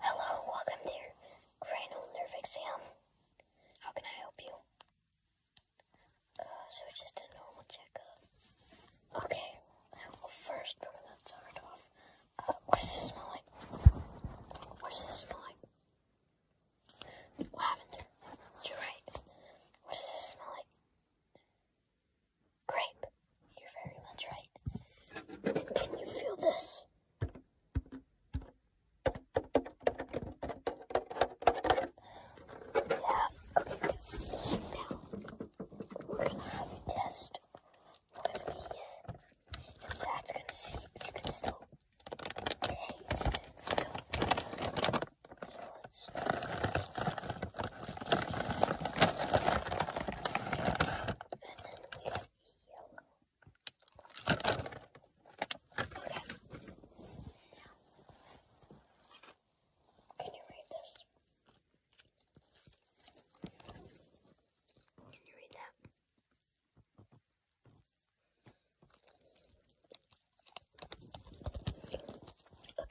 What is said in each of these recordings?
Hello, welcome to your cranial nerve exam. How can I help you? Uh, so it's just a normal checkup. Okay, well first we're gonna start off. Uh, what's this smell like? What's this smell like? Lavender. You're right. What does this smell like? Grape. You're very much right. And can you feel this? Yeah, okay, Now, we're gonna have you test one these. that's gonna see if you can still taste and smell. So let's. And then we have yellow. Okay. Now, can you read this? Can you read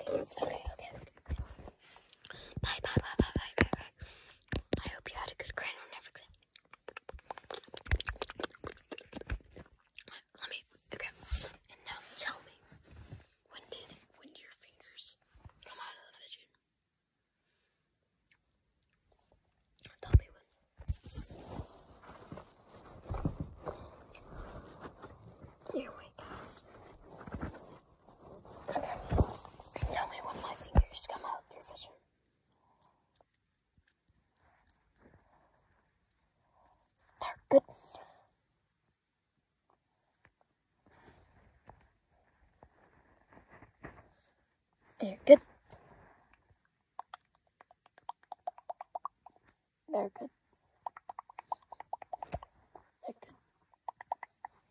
that? Okay, okay, okay. Bye, bye, bye, bye, bye, bye, I hope you had a good cranial nerve exam. Let me, okay. And now tell me, when did, when did your fingers come out of the vision? Tell me when. Here, wait, guys. Okay. tell me when my fingers come out, They're good. They're good. They're good. They're good.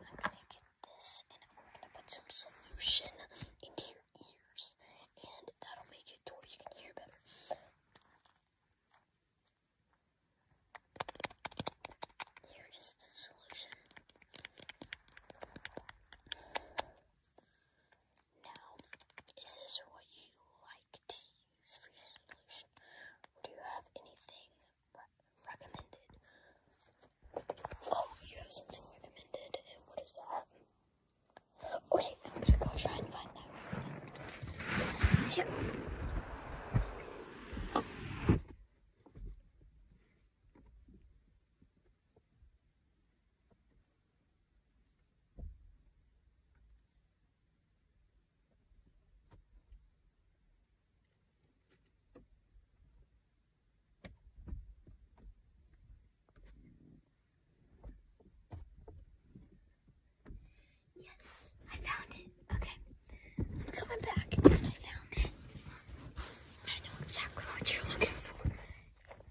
I'm gonna get this and we're gonna put some solution into your ears, and that'll make it to you can hear better. Here is the solution. Now, is this what you like to use for your solution? do you have anything recommended. Oh, you have something recommended, and what is that? Okay, I'm gonna go try and find that. Yep. Yes, I found it. Okay, I'm coming back I found it. I know exactly what you're looking for.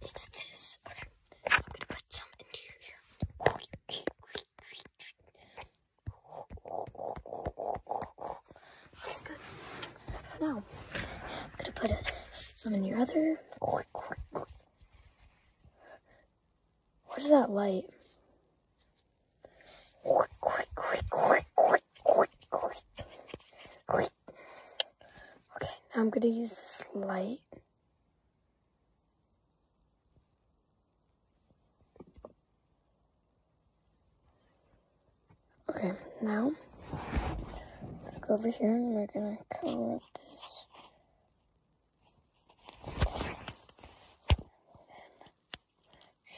It's this. Okay, I'm gonna put some into your Okay, I'm gonna put it, some in your other. Where's that light? Okay, I'm gonna use this light Okay, now I'm gonna go over here and we're gonna cover up this.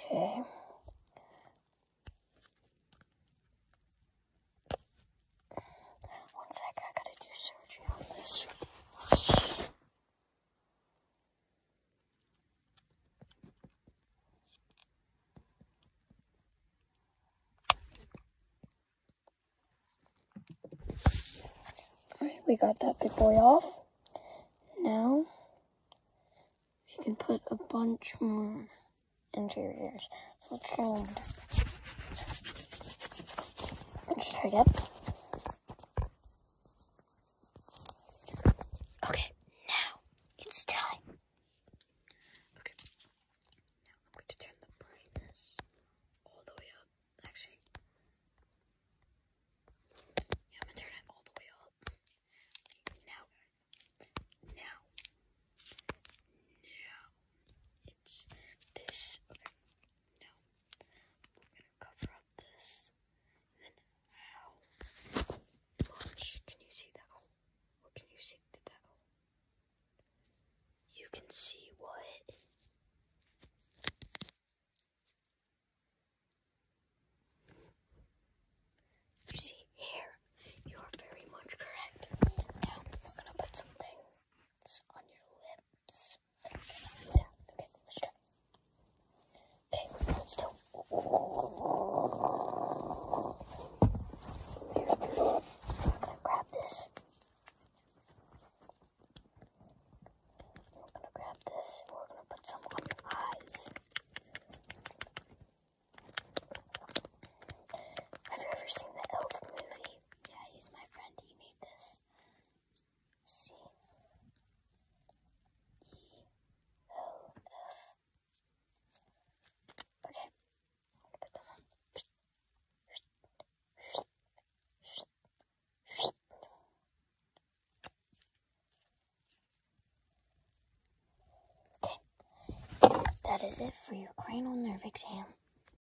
Okay. One sec, I gotta do surgery on this. Alright, we got that big boy off. Now, you can put a bunch more interiors. So let's Let's try it. Okay, now it's time. Okay, now I'm going to turn the brightness all the way up. Actually, yeah, I'm gonna turn it all the way up. Okay, now, now, now, it's this. Okay, now, cover up this. then how much can you see that hole? What can you see through that hole? You can see what? You see here. You are very much correct. Now we're gonna put something on your lips. Okay, let's try. Okay, still. Very I'm gonna grab this. We're gonna grab this. We're gonna put some on your eyes. Have you ever seen the Elf movie? Yeah, he's my friend. He made this. S C E O F. Okay, Okay, that is it for your cranial nerve exam.